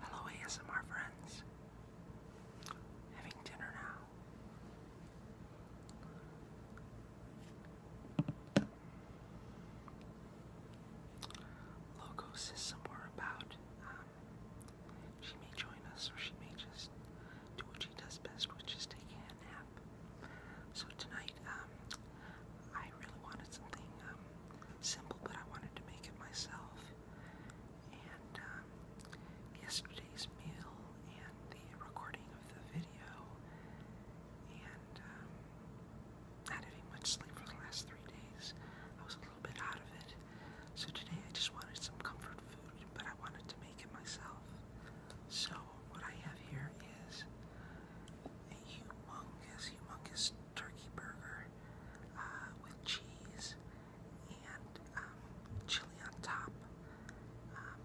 Hello ASMR friends. Having dinner now. Loco says some about um, she may join us or she may just do what she does best, which is taking a nap. So tonight, um, I really wanted something um, simple, but I wanted to make it myself. And um, yesterday's meal and the recording of the video, and um, not having much sleep for the last three days, I was a little bit out of it. So today I just wanted some comfort food, but I wanted to make it myself. So what I have here is a humongous, humongous turkey burger uh, with cheese and um, chili on top. Um,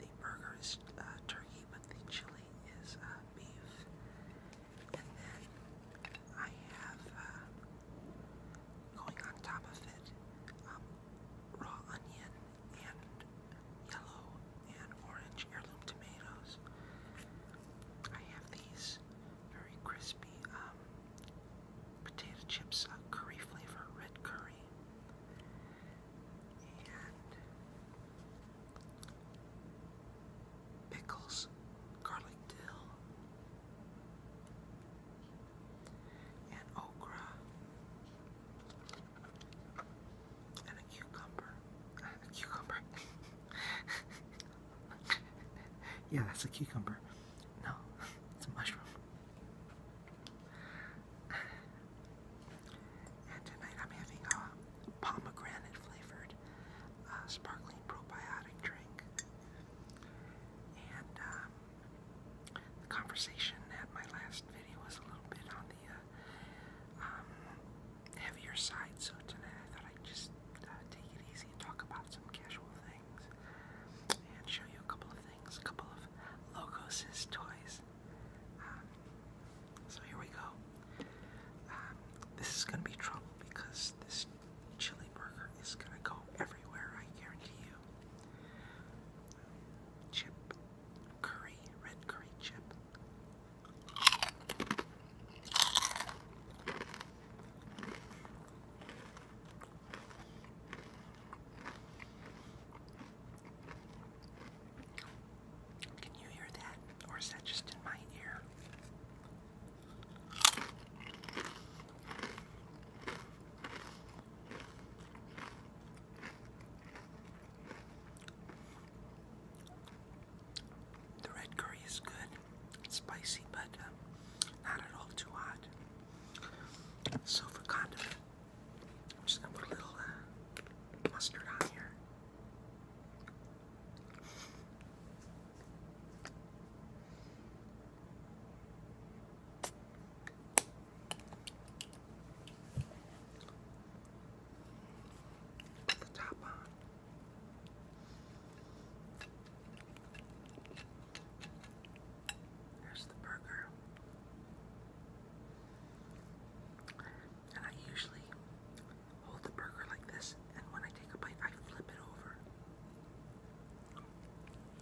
the burger is uh, turkey, but the chili is uh, beef. And then I have going on top of it um, raw onion and yellow and orange heirloom tomatoes. I have these very crispy um, potato chips, uh, curry flavor, red curry. And pickles, garlic dill, and okra and a cucumber. A cucumber. yeah, that's a cucumber. No, it's a mushroom. And tonight I'm having a pomegranate flavored uh, sparkling probiotic drink. And um, the conversation at my last video was a little bit on the uh, um, heavier side, so tonight I thought I'd just uh, take it easy and talk about some casual things and show you a couple of things, a couple of Logos' toys. Um, so here we go. Um, this is going to be trouble because this chili burger is going to go everywhere, I guarantee you. Chip curry, red curry chip. Can you hear that? Or is that just in my ear? The red curry is good. spicy, but uh, not at all too hot. So condiment, I'm just gonna put a little uh, mustard on here. Put the top on. Here's the burger. And I usually hold the burger like this, and when I take a bite, I flip it over.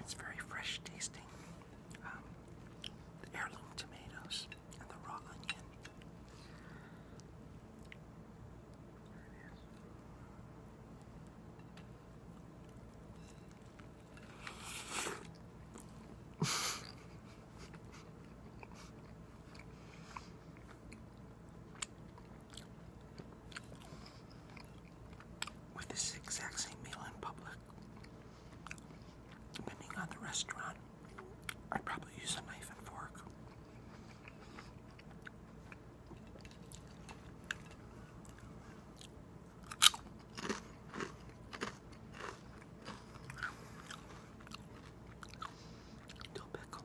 It's very fresh tasting. Um, the heirloom tomatoes and the raw onion. with this exact same meal in public. Depending on the restaurant, I'd probably use a knife and fork. Dill pickle.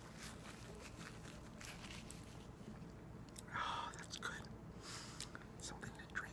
Oh, that's good. Something to drink.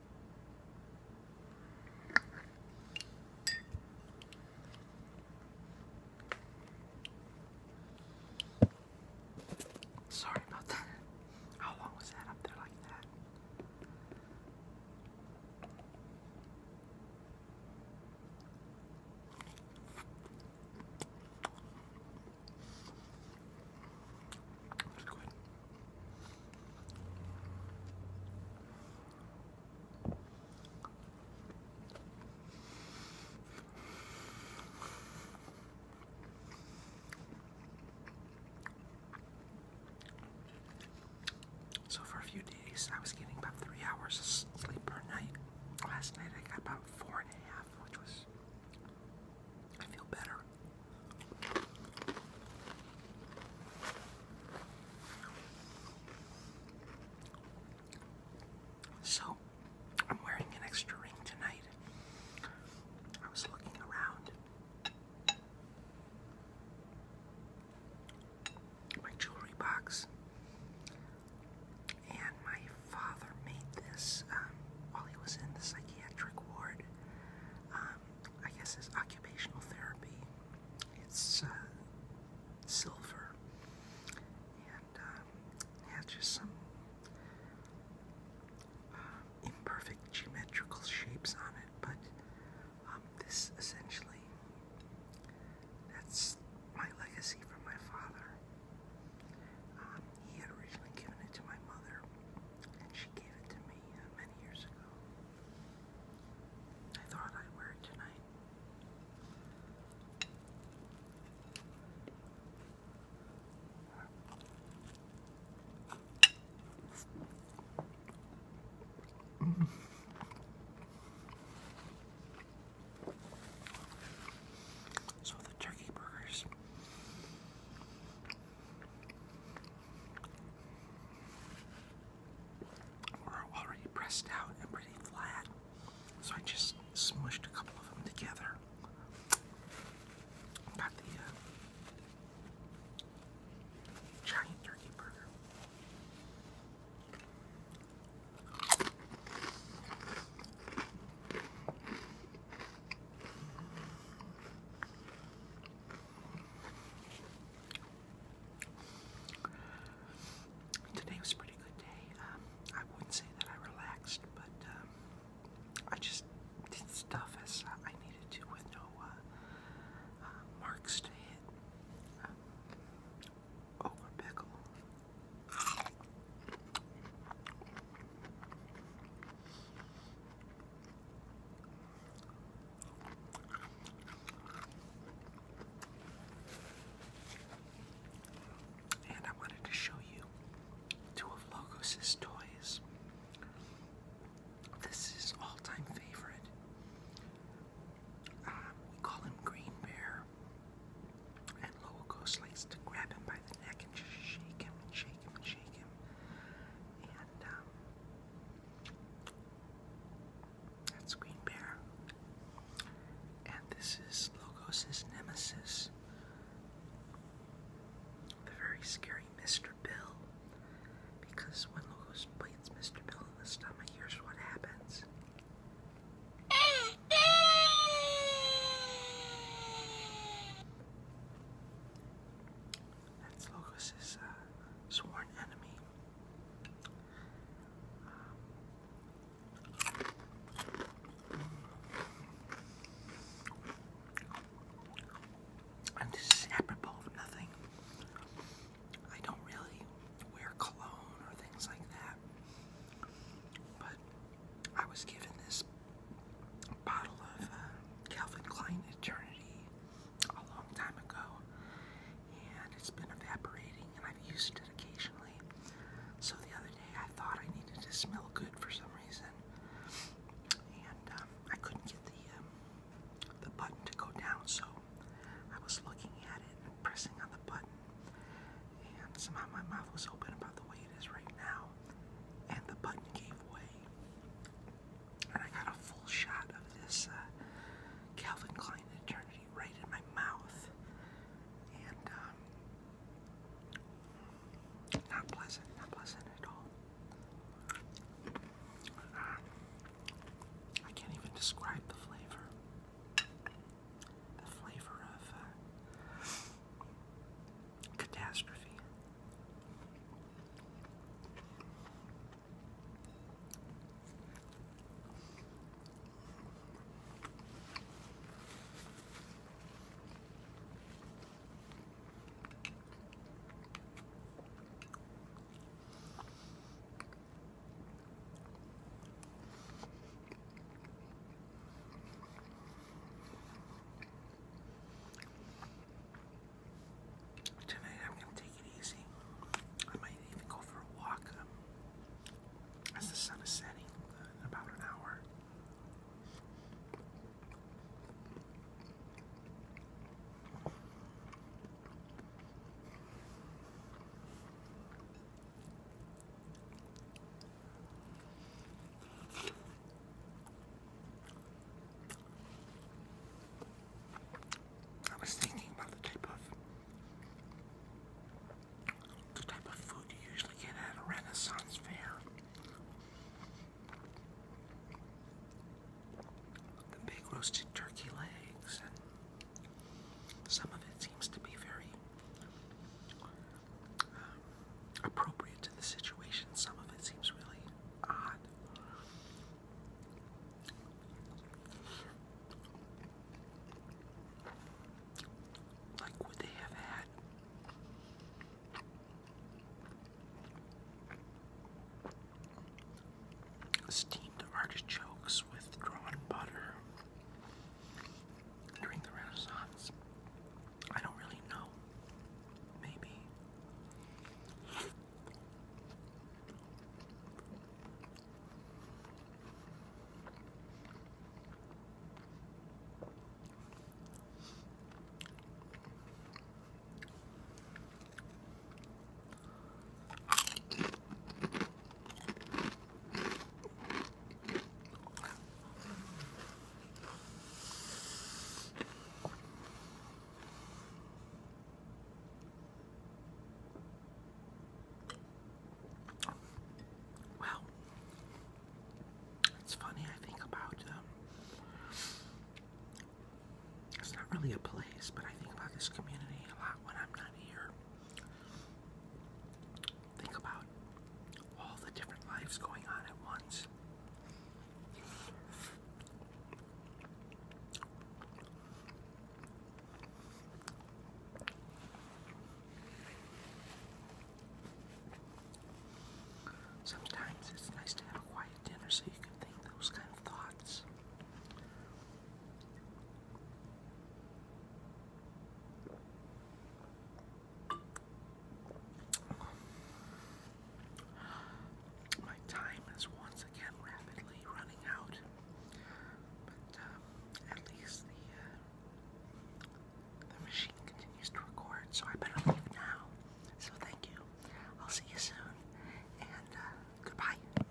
Sorry about that. How long was that up there like that? That's good. So, for a few days, I was getting about three hours of sleep per night. Last night, I got about four and a half, which was I feel better. So, I'm wearing an extra ring tonight. I was looking around. My jewelry box, and my father made this um, while he was in the psychiatric ward. Um, I guess is occupational therapy. It's uh, silver, and um, yeah, just some uh, imperfect geometrical shapes on it. But um, this essentially, that's my legacy from my father. Um, he had originally given it to my mother, and she gave it to me uh, many years ago. I thought I'd wear it tonight. So the turkey burgers were already pressed out and pretty flat, so I just smushed a couple of them together. Got the uh, giant turkey burger. Today was a pretty good day. Um, I wouldn't say that I relaxed, but um, I just did stuff as I needed to with no uh, uh, marks to hit. Um, pickle. And I wanted to show you two of Logos' toys. This is all-time favorite. Uh, we call him Green Bear and Lowell Ghost likes to grab him by the neck and just shake him and shake him and shake him. And um, that's Green Bear. And this is Logos' nemesis, the very scary Mr. Bill. Because when Logos bites Mr. Bill in the stomach, here's what happens. That's Logos' uh, sworn enemy. Um, and this is apropos nothing. I don't really wear cologne or things like that. But I was given this bottle of uh, Calvin Klein Eternity a long time ago, and it's been evaporating, and I've used it occasionally. So the other day, I thought I needed to smell good for some reason, and um, I couldn't get the um, the button to go down, so I was looking at it and pressing on the button, and somehow my mouth was open about the way it is right now. And the button gave way. And I got a full shot of this uh, Calvin Klein Eternity right in my mouth. And, um, not pleasant, not pleasant at all. Uh, I can't even describe the flavor a flavor of uh, catastrophe. Tonight I'm going to take it easy. I might even go for a walk as the sun is setting in uh, about an hour. I was thinking about the type of the type of food you usually get at a Renaissance fair. The big roasted turkey legs some of it seems to be very um, appropriate to the situation, some of it seems really odd. Like, would they have had steamed artichokes with drawn butter during the Renaissance. I don't really know. Maybe. Well, it's funny, I think about um, it's not really a place, but I think about this community a lot when I'm not here. Think about all the different lives going on at once. Sometimes it's nice to have a quiet dinner so you can think those kind of thoughts. My time is once again rapidly running out, but um, at least uh, the machine continues to record, so I better leave now. So thank you. I'll see you soon, and uh, goodbye.